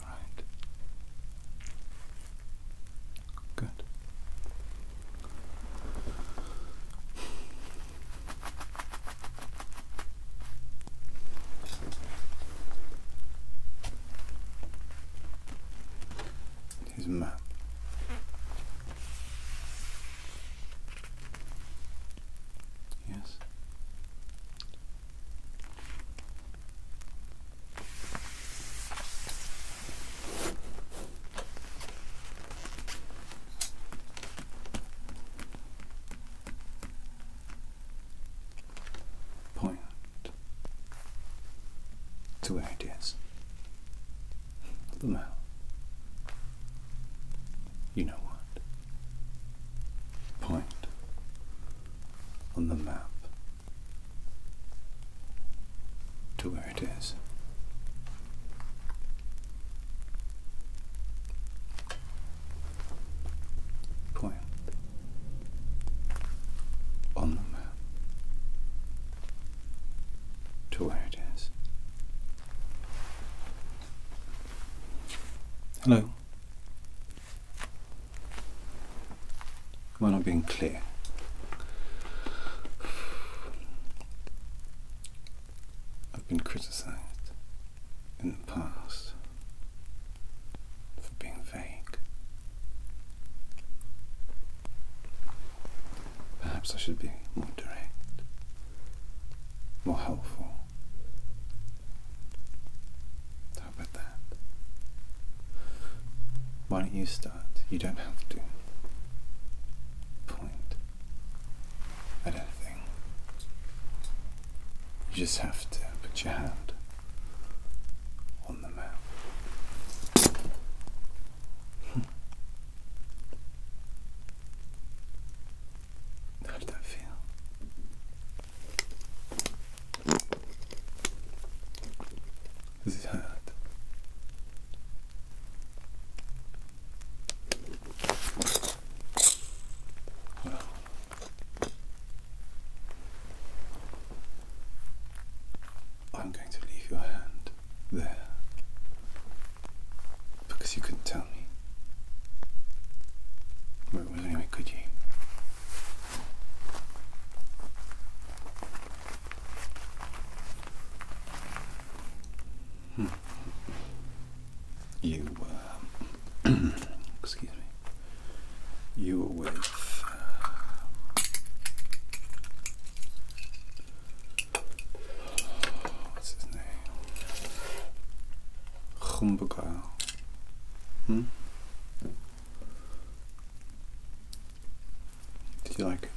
right. Good. His map. Yes. Point to where it is. The mouth. You know what? point on the map to where it is. Point on the map to where it is. Hello, Am I not being clear? I've been criticised in the past for being vague. Perhaps I should be more direct, more helpful. How about that? Why don't you start? You don't have to point at anything. You just have to put your hand on the mouth. Hmm. How did that feel? This is hard. I'm going to leave your hand there because you couldn't tell me. Well, anyway, could you? Hmm. You were, uh, excuse me, you were with uh, what's his name? Humbergau. Hmm? Did you like it?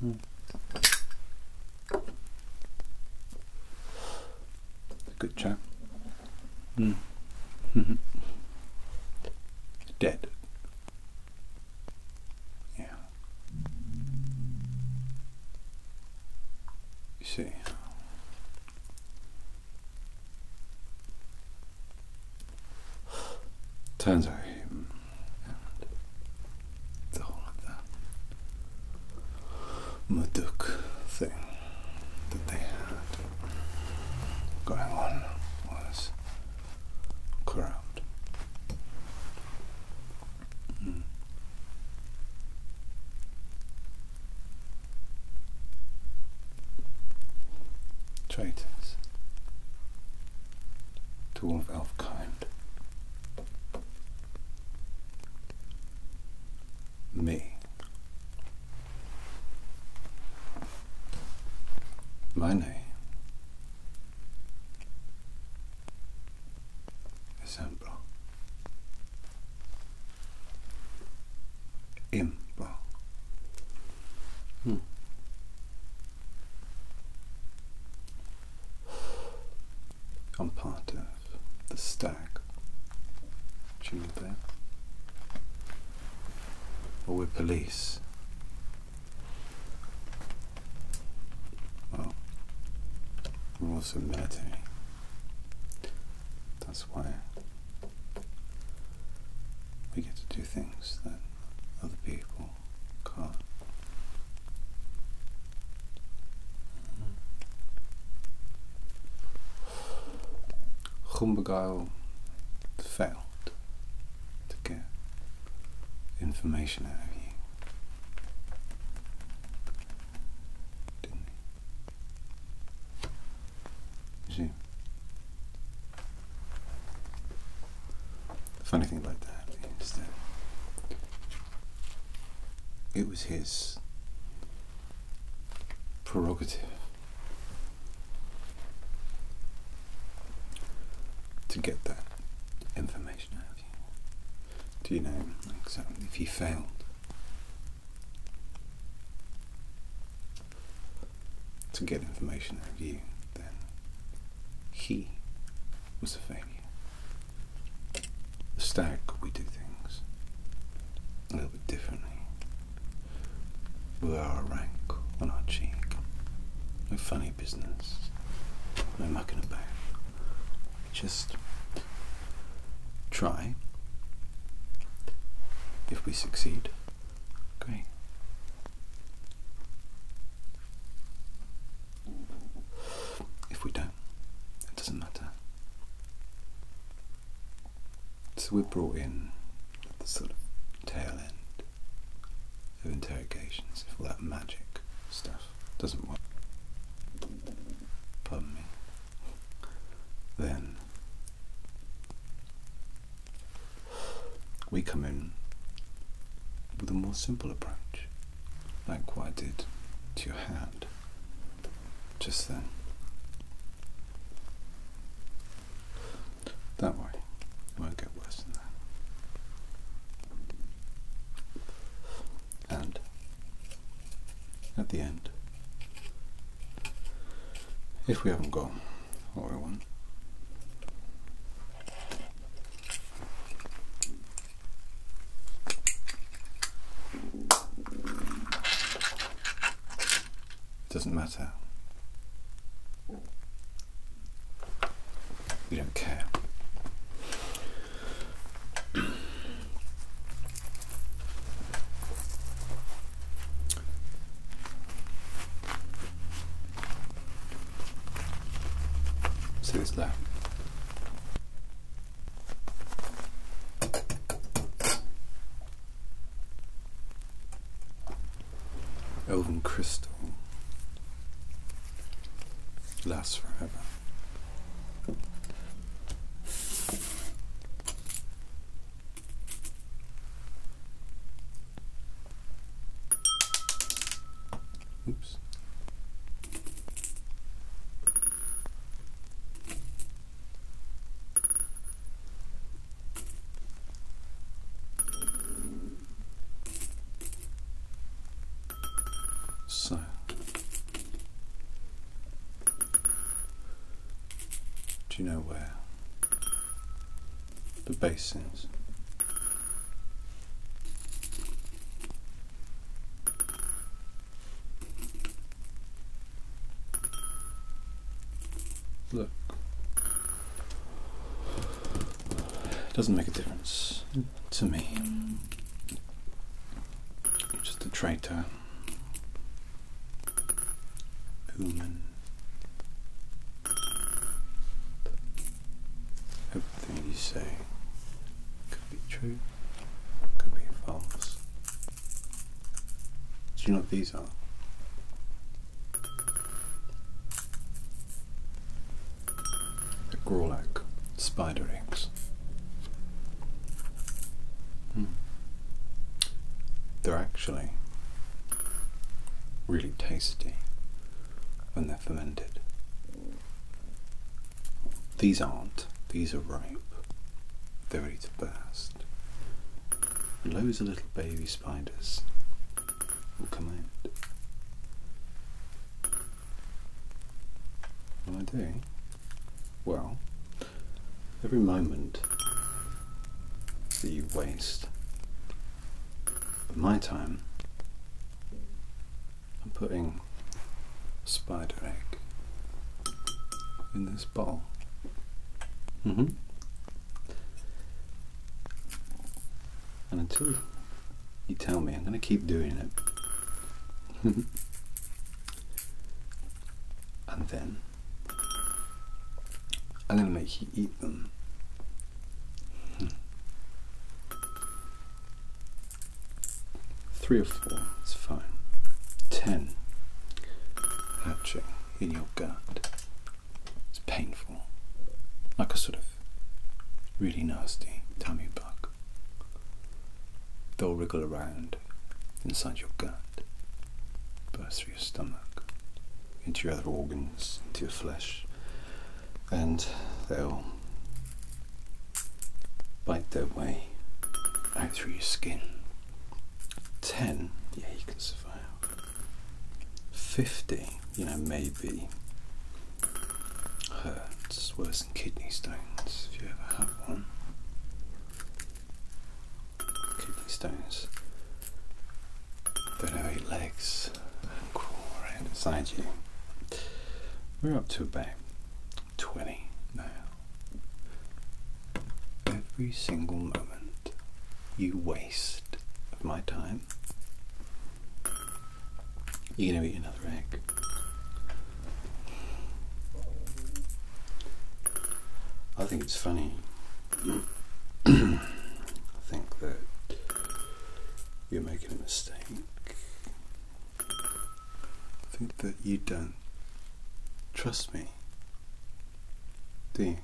Hmm. Good chap. Hmm. Dead. Yeah you see. Turns out him the whole of thing that they had going on was crowd. Hmm. Traitors, to all of elfkind. Me. My name esemplo Impro. Hmm. I'm part of the stack. Do you know Or we're police. Well, I'm also military. That's why we get to do things that other people can't. Humbergile failed to get information out of you. Didn't he? see? funny thing about that is that it was his prerogative to get that information out of you. Do you know exactly if he failed? To get information out of you, then he was a failure. The stag, we do things a little bit differently. We wear our rank on our cheek. We're funny business. No mucking about. Just try. If we succeed, great. If we don't, it doesn't matter. So we're brought in at the sort of tail end of interrogations if all that magic stuff doesn't work. Pardon me. Then we come in with a more simple approach, like what I did to your hand just then. Don't worry, it won't get worse than that. And at the end, if we haven't got what we want, doesn't matter. We don't care. See what's left. Elven crystal lasts forever. Oops. So. Do you know where the basins? Look, it Doesn't make a difference to me. I'm just a traitor. Human. Everything you say could be true, could be false. Do you know what these are? The Gorlak spider eggs. Hmm. They're actually really tasty when they're fermented. These aren't, these are ripe. They're ready to burst. And loads of little baby spiders will come I do? Well, every moment that you waste of my time, I'm putting spider egg in this bowl. -hmm. And until you tell me, I'm going to keep doing it. and then I'm going to make you eat them. Three or four, it's fine. Ten hatching in your gut. It's painful. Like a sort of really nasty tummy bug. They'll wriggle around inside your gut, burst through your stomach, into your other organs, into your flesh, and they'll bite their way out through your skin. Ten, yeah, you can survive. 50, you know, maybe hurts worse than kidney stones if you ever have one. Kidney stones, they don't have eight legs and crawl inside you. We're up to about 20 now. Every single moment you waste of my time you're going to eat another egg. I think it's funny. I think that you're making a mistake. I think that you don't trust me. Do you?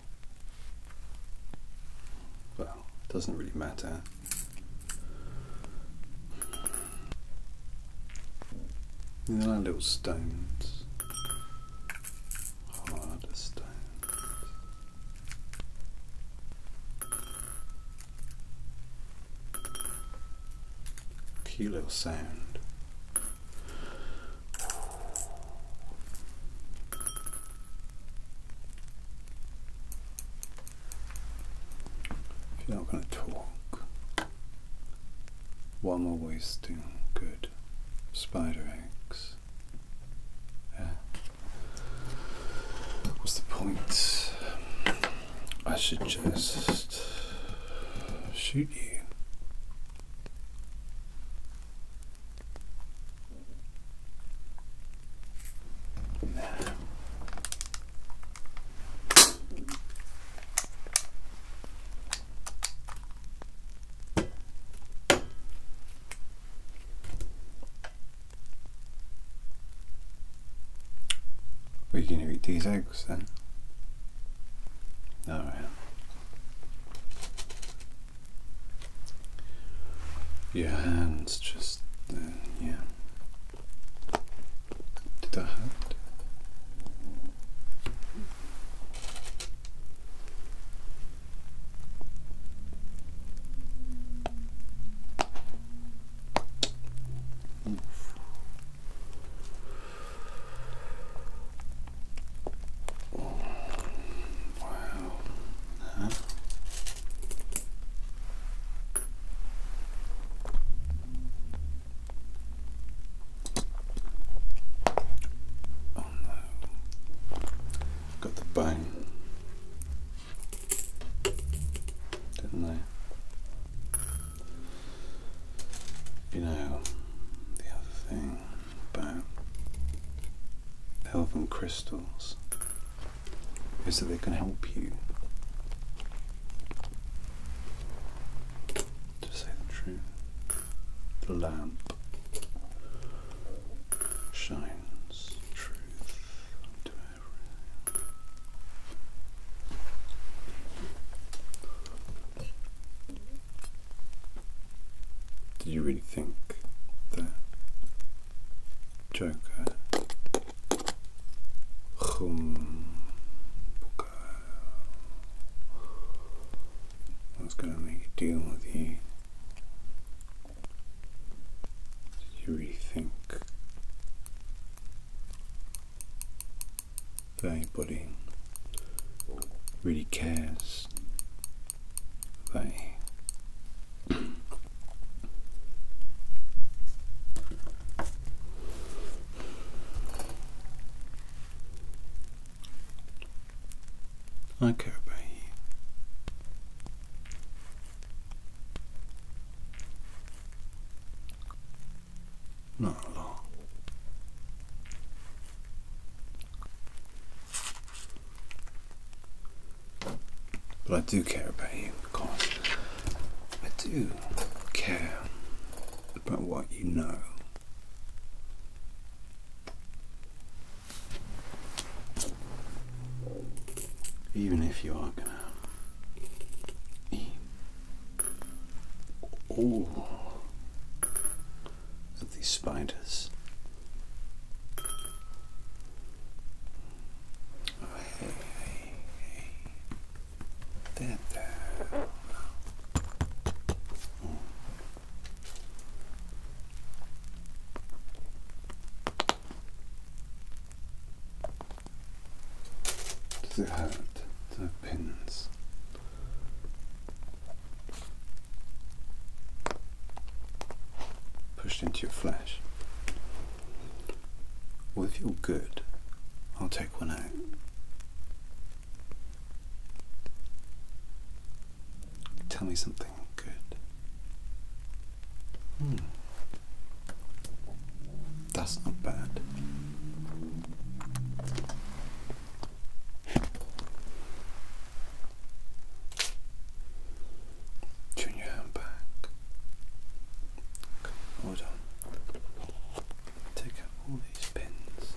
Well, it doesn't really matter. There are little stones. Harder stones. Cute little sound. If you're not going to talk, one more I wasting? Good. Spider eggs. What's the point? I should just shoot you. Are you going to eat these eggs then? Alright. Your hands just, uh, yeah. Did I hurt? Oof. wow. Uh Got the bone. Didn't I? You know, the other thing about elven crystals is that they can help you, to say the truth, the lamp shines truth to everything. Did you really think that 조금 hum I was going to make a deal with you. Did you really think that anybody really cares they I care about you. Not a but I do care about you, of course. I do care about what you know. Even if you are gonna eat all of these spiders hey, hey, hey. Tenta. Does it hurt the pins? pushed into your flesh. Well, if you're good, I'll take one out. Tell me something good. Hmm. That's not bad. Turn your hand back. hold on. Take out all these pins.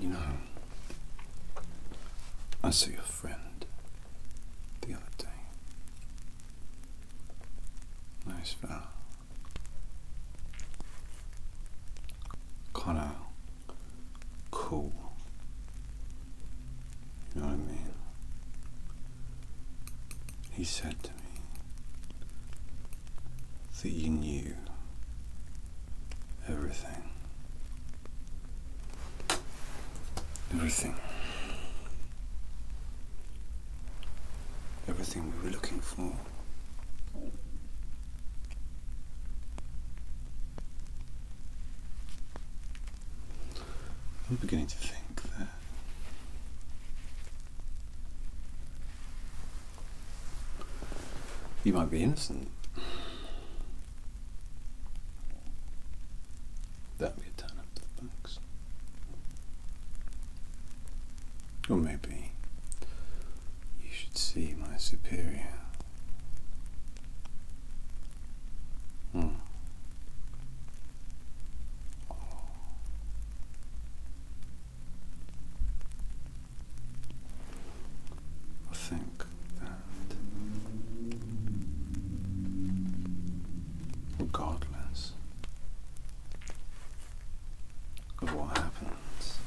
You know, I saw your friend the other day. Nice fellow kind of cool. You know what I mean? He said to me that you knew everything. Everything. Everything we were looking for. I'm beginning to think that you might be innocent. That'd be a turn up the bucks. Or maybe you should see my superior. Hmm. I think that regardless of what happens,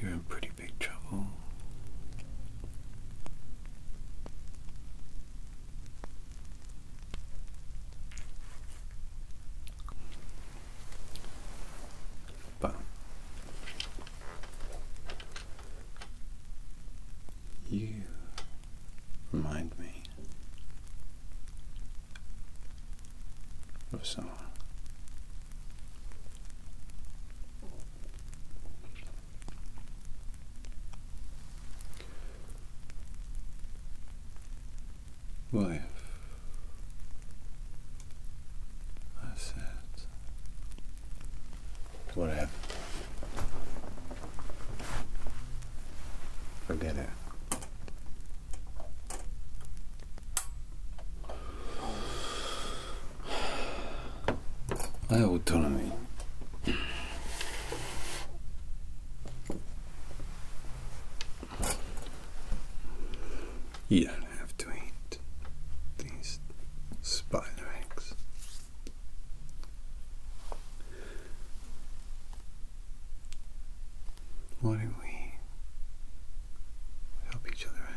you're in pretty big trouble. But you remind me of someone. Wife, I said, what Forget it. I autonomy. You don't have to eat these spider eggs. Why don't we help each other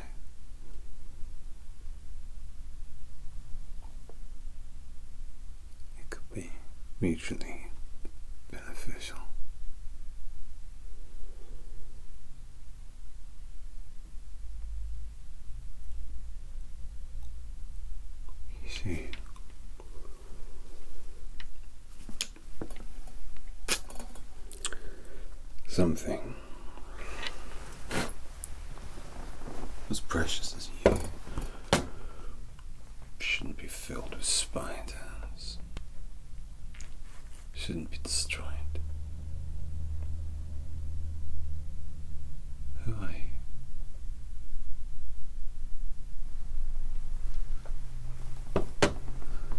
It could be mutually beneficial. You see, Something as precious as you shouldn't be filled with spiders, shouldn't be destroyed. Who are you?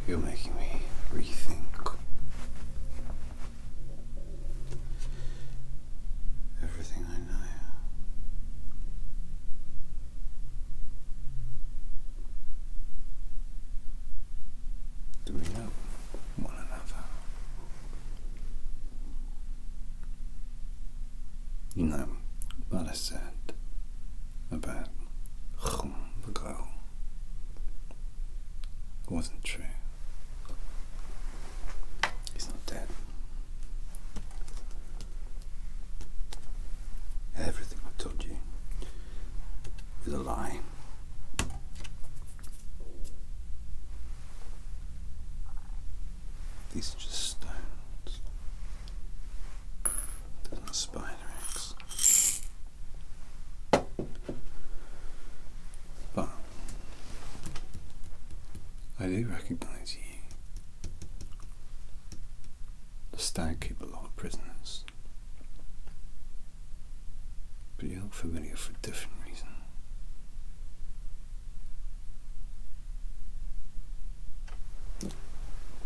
You're making me rethink everything I know. Do we know one another? You know, what I said about the girl. It wasn't true. He's not dead. Everything I told you is a lie. These are just stones. There's no spider. But I do recognise you. The stag keep a lot of prisoners. But you look familiar for a different reason.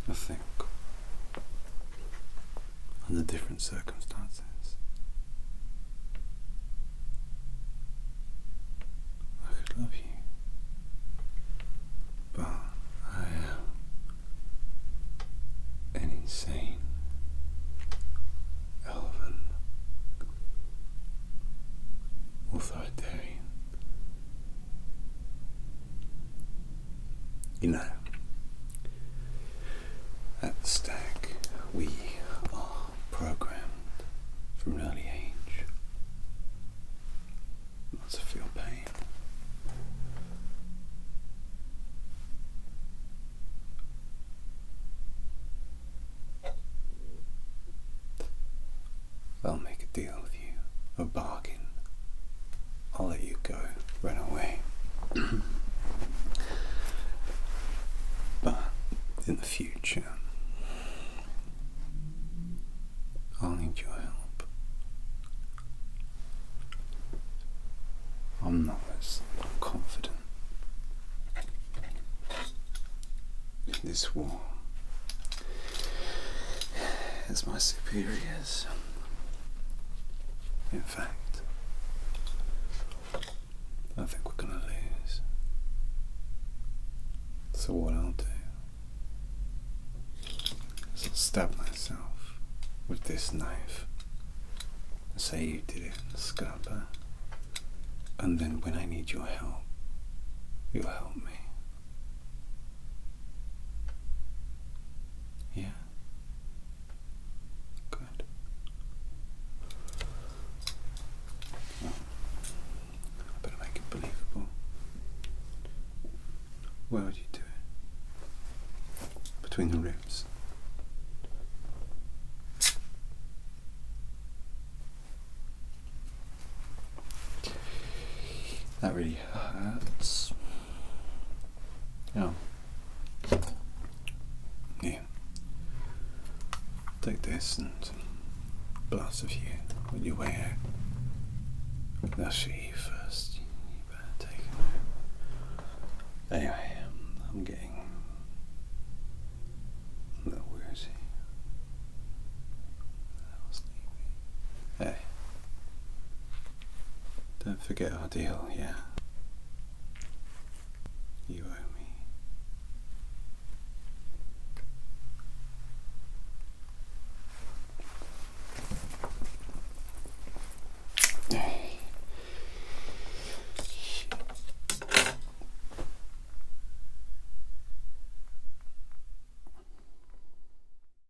I think under different circumstances. I could love you, but I am an insane, elven, authoritarian, you know, at the stack, we are programmed from an early age not to feel pain. I'll make a deal a bargain. I'll let you go, run away. but in the future, I'll need your help. I'm not as confident in this war as my superiors. In fact, I think we're going to lose. So, what I'll do is stab myself with this knife say you did it, Scarpa. And then, when I need your help, you'll help me. Yeah. Good. better make it believable. Where would you do it? Between the ribs. That really hurts. Yeah. Yeah. Take this and blast a few on your way out. That's for you first. You better take it. Anyway, um, I'm getting a little woozy. A little Hey. Don't forget our deal, yeah? You owe me.